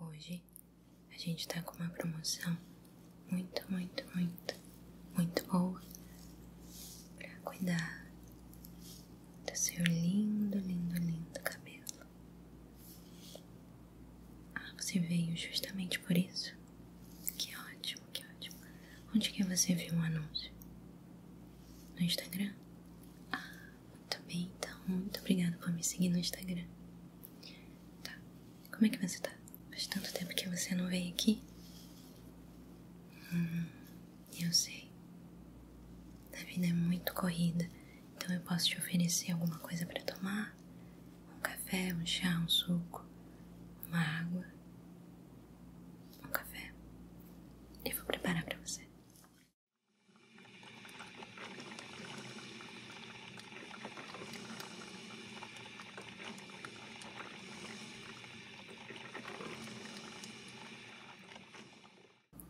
Hoje a gente tá com uma promoção muito, muito, muito, muito boa para cuidar do seu lindo, lindo, lindo cabelo. Ah, você veio justamente por isso? Que ótimo, que ótimo. Onde que você viu o anúncio? No Instagram? Ah, muito bem, então, muito obrigada por me seguir no Instagram. Tá, como é que você tá? Faz tanto tempo que você não vem aqui. Hum, eu sei. A vida é muito corrida, então eu posso te oferecer alguma coisa para tomar: um café, um chá, um suco, uma água. Um café. Eu vou preparar para você.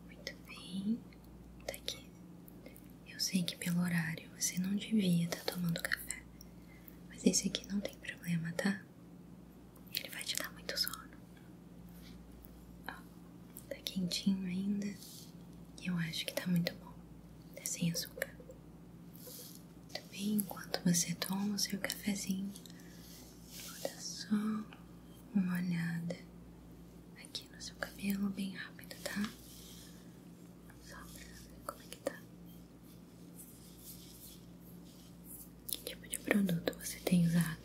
Muito bem, tá aqui. Eu sei que pelo horário você não devia estar tá tomando café, mas esse aqui não tem problema, tá? Ele vai te dar muito sono tá quentinho ainda. E eu acho que tá muito bom. Tá sem açúcar. bem enquanto você toma o seu cafezinho, eu vou dar só uma olhada aqui no seu cabelo, bem rápido, tá? Só pra ver como é que tá. Que tipo de produto você tem usado?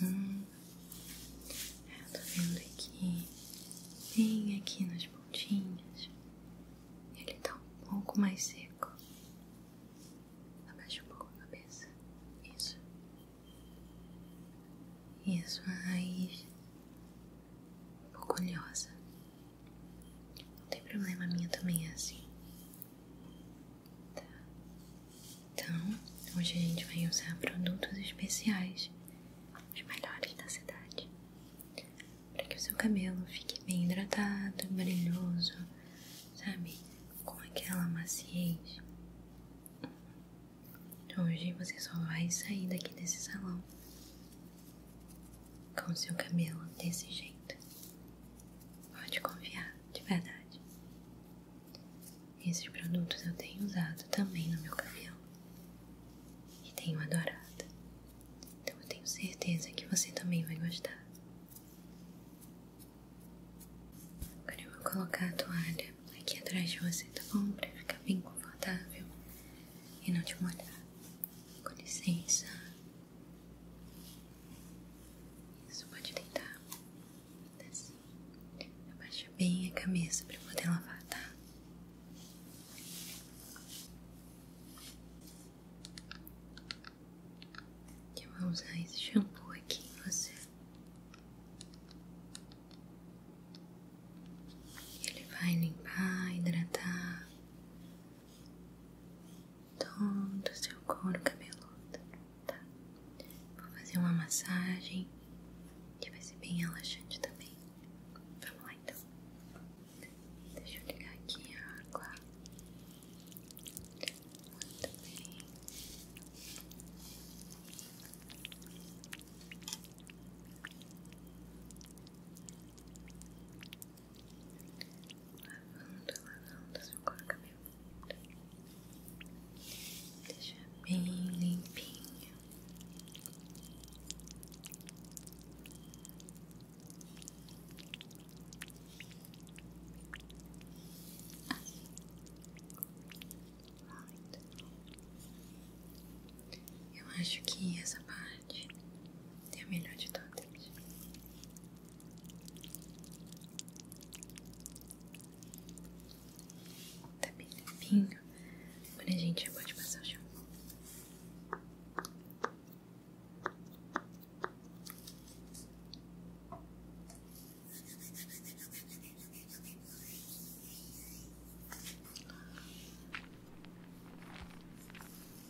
Uhum. Eu tô vendo aqui, bem aqui nas pontinhas. Ele tá um pouco mais seco. Abaixa um pouco a cabeça. Isso. Isso, a um pouco oleosa. Não tem problema, a minha também é assim. Então, hoje a gente vai usar produtos especiais, os melhores da cidade, para que o seu cabelo fique bem hidratado, brilhoso, sabe? Com aquela maciez. Então Hoje você só vai sair daqui desse salão com o seu cabelo desse jeito. Pode confiar, de verdade. Esses produtos eu tenho usado também no meu cabelo e tenho adorado. Então eu tenho certeza que você também vai gostar. Agora eu vou colocar a toalha aqui atrás de você, da tá bom? Pra ficar bem confortável e não te molhar. Com licença. Isso, pode deitar. Assim. Abaixa bem a cabeça para poder lavar, tá? Eu vou usar esse shampoo aqui em você. Ele vai limpar, hidratar todo o seu couro cabeludo, é tá? Vou fazer uma massagem que vai ser bem relaxante também. Vamos lá então. Deixa eu ligar aqui a água. Muito tá bem. Lavando, lavando seu couro cabeludo. É Deixa bem limpinho. Eu acho que essa parte é a melhor de todas. Tá bem limpinho. Agora a gente já pode passar o shampoo.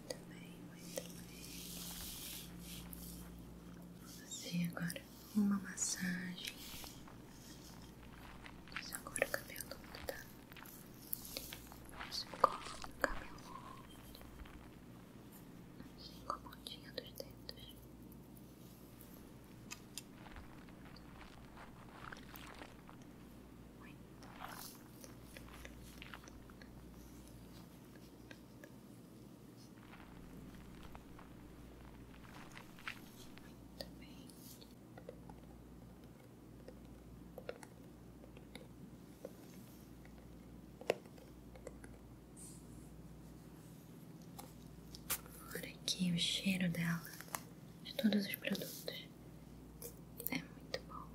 Muito bem, muito bem. agora uma massagem. Mas agora o cabelo tá. Você coloca o cabelo assim com a pontinha dos dedos. Muito. Muito bem. Olha aqui o cheiro dela, de todos os produtos. É muito bom.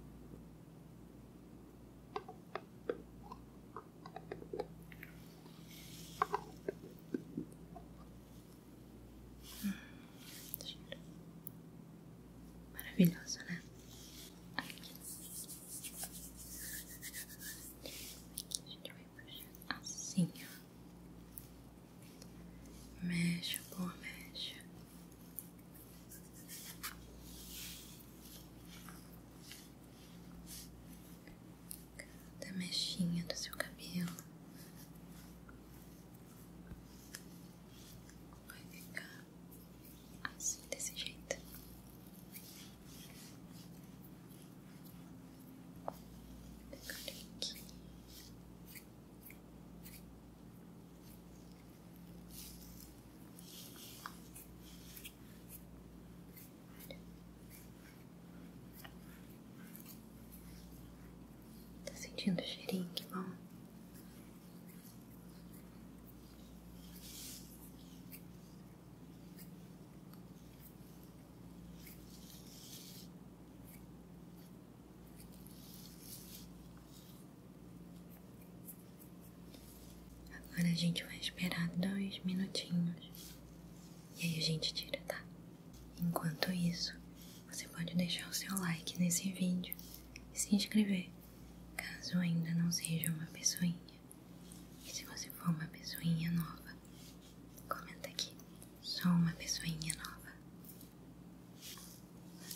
Maravilhoso, né? Aqui. A gente vai puxar assim, ó. Mexe, pô, mexe. Cada mechinha do seu cabelo vai ficar assim, desse jeito. Tá sentindo cheirinho, que bom. Agora a gente vai esperar dois minutinhos e aí a gente tira, tá? Enquanto isso, você pode deixar o seu like nesse vídeo e se inscrever, caso ainda não seja uma pessoinha. E se você for uma pessoinha nova, comenta aqui, sou uma pessoinha nova.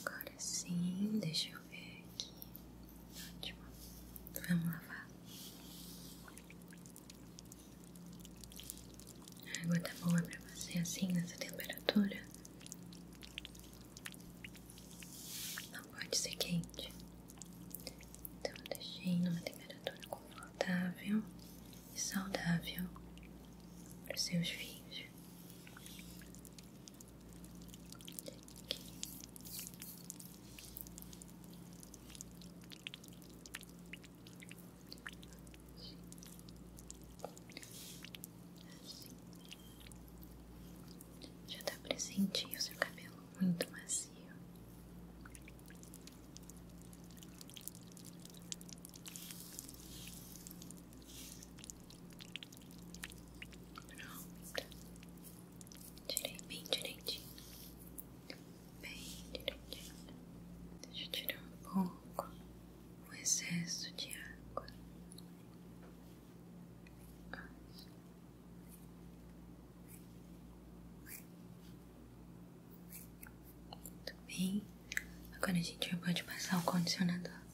Agora sim, deixa eu ver aqui. Ótimo. Vamos lavar. A água tá boa pra você assim nessa temperatura? Não pode ser quente. Então eu deixei numa temperatura confortável e saudável para seus filhos. Já dá tá pra sentir o seu cabelo muito macio. Pronto. Tirei bem direitinho. Bem direitinho. Deixa eu tirar um pouco o excesso de água. Muito bem. Agora a gente pode passar o condicionador.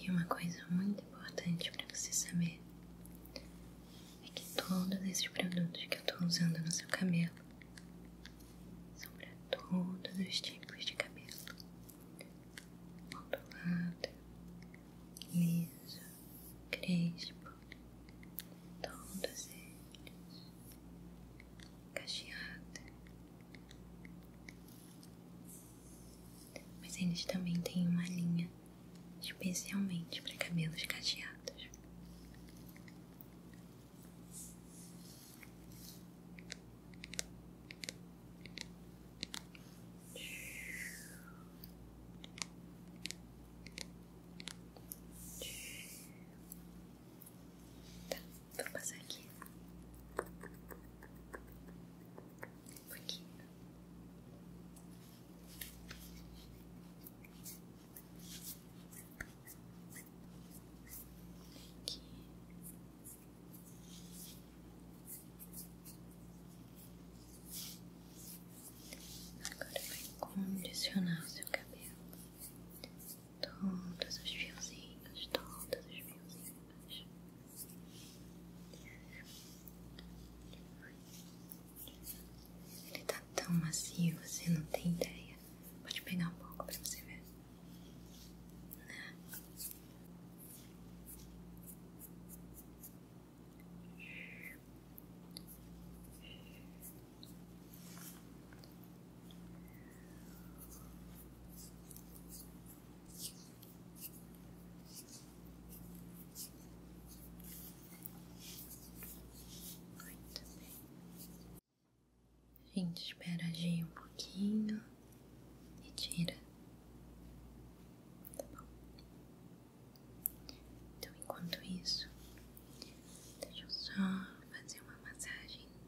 E uma coisa muito importante para você saber é que todos esses produtos que eu estou usando no seu cabelo são para todos os tipos de cabelo: ondulado, liso, crespo, todos eles, cacheado, mas eles também têm uma linha especialmente para cabelos cacheados. Tá, vou passar aqui um Aqui. Agora vai condicionar o seu cabelo todos os fiozinhos, todos os fiozinhos. Ele tá tão macio, você não tem ideia. Pode pegar um pouco pra você ver. Né? gente espera agir um pouquinho e tira. Tá bom? Então, enquanto isso, deixa eu só fazer uma massagem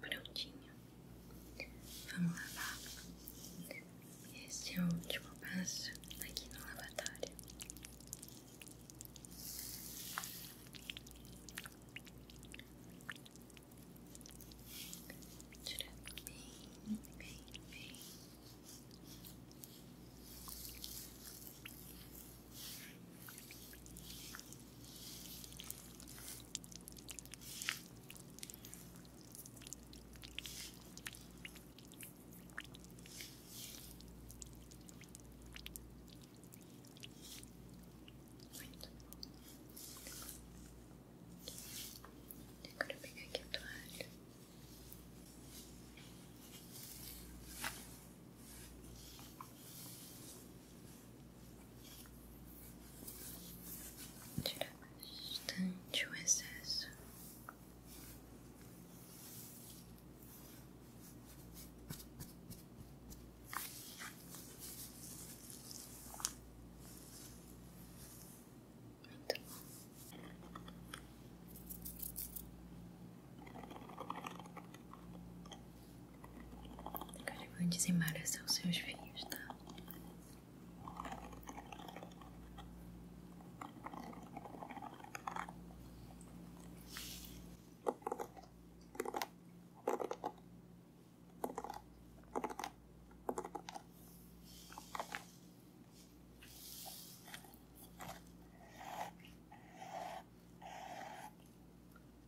prontinho. Vamos lavar. Esse é o último passo aqui no lavatório. Tira bem, bem, bem. Muito Agora eu pegar aqui o toalha. Tirar bastante o excesso. Muito bom. Muito Agora eu desembarcar os seus filhos, tá?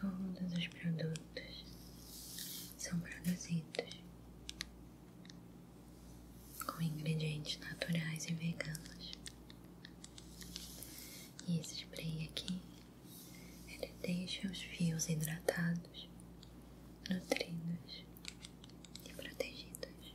Todos os produtos são produzidos com ingredientes naturais e veganos. E esse spray aqui, ele deixa os fios hidratados, nutridos e protegidos.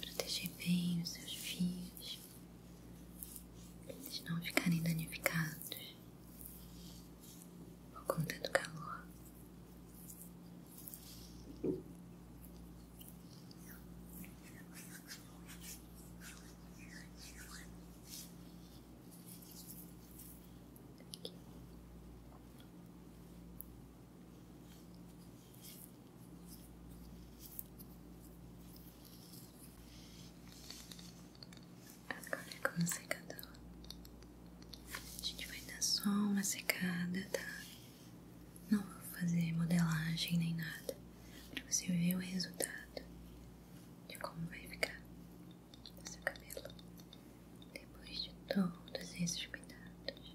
Proteger bem os seus fios, eles não ficarem danificados por conta do calor. Agora é com o secador, a gente vai dar só uma secada, tá? Não vou fazer modelagem nem nada, pra você ver o resultado de como vai ficar o seu cabelo depois de todos esses cuidados.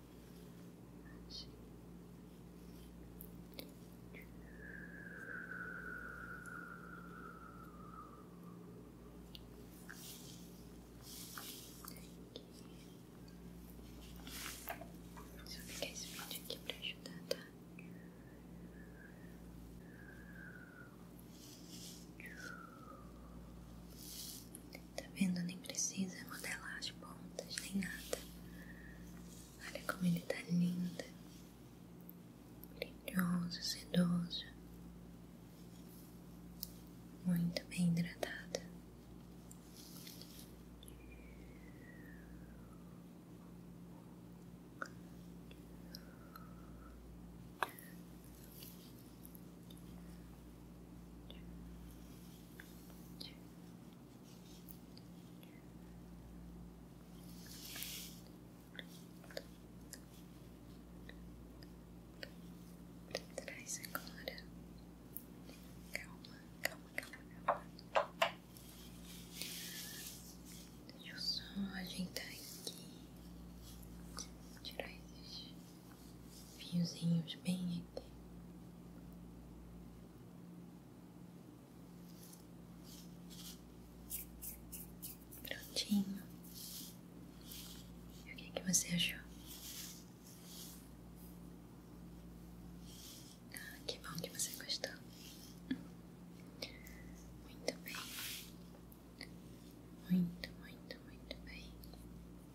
Deixa eu pegar esse vídeo aqui pra ajudar, Tá vendo? Nem precisa modelar as pontas, nem nada. Olha como ele tá lindo, brilhoso, sedoso, muito bem hidratado. Pra agora. Calma, calma, calma, calma. Deixa eu só ajeitar aqui. Tirar esses fiozinhos bem aqui. Prontinho. o que, que você achou? Ah, que bom que você gostou. Muito bem. Muito, muito, muito bem muito bem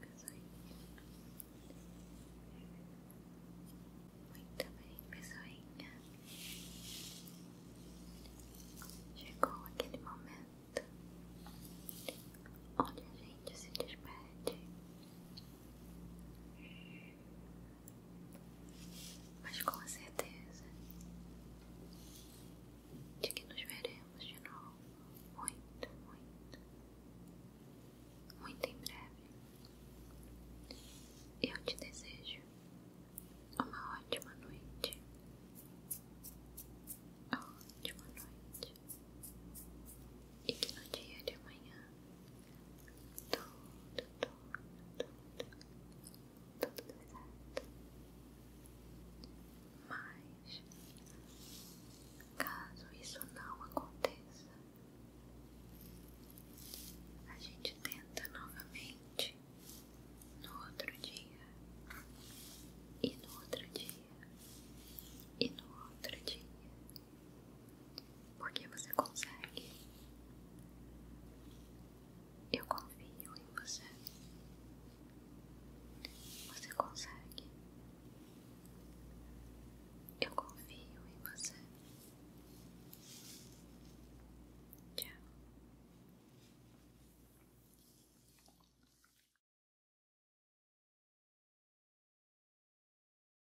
pessoal. Muito bem, pessoinha. Chegou aquele momento onde a gente se despede mas com certeza de que nos veremos de novo muito, muito, muito em breve. Eu te desejo uma ótima noite. ótima noite. E que no dia de amanhã tudo, tudo, tudo, tudo pesado, mas caso isso não aconteça, a gente tenta novamente no outro dia, e no outro dia, e no outro dia. Porque você consegue. Eu confio em você. Você consegue. Eu confio em você. Tchau.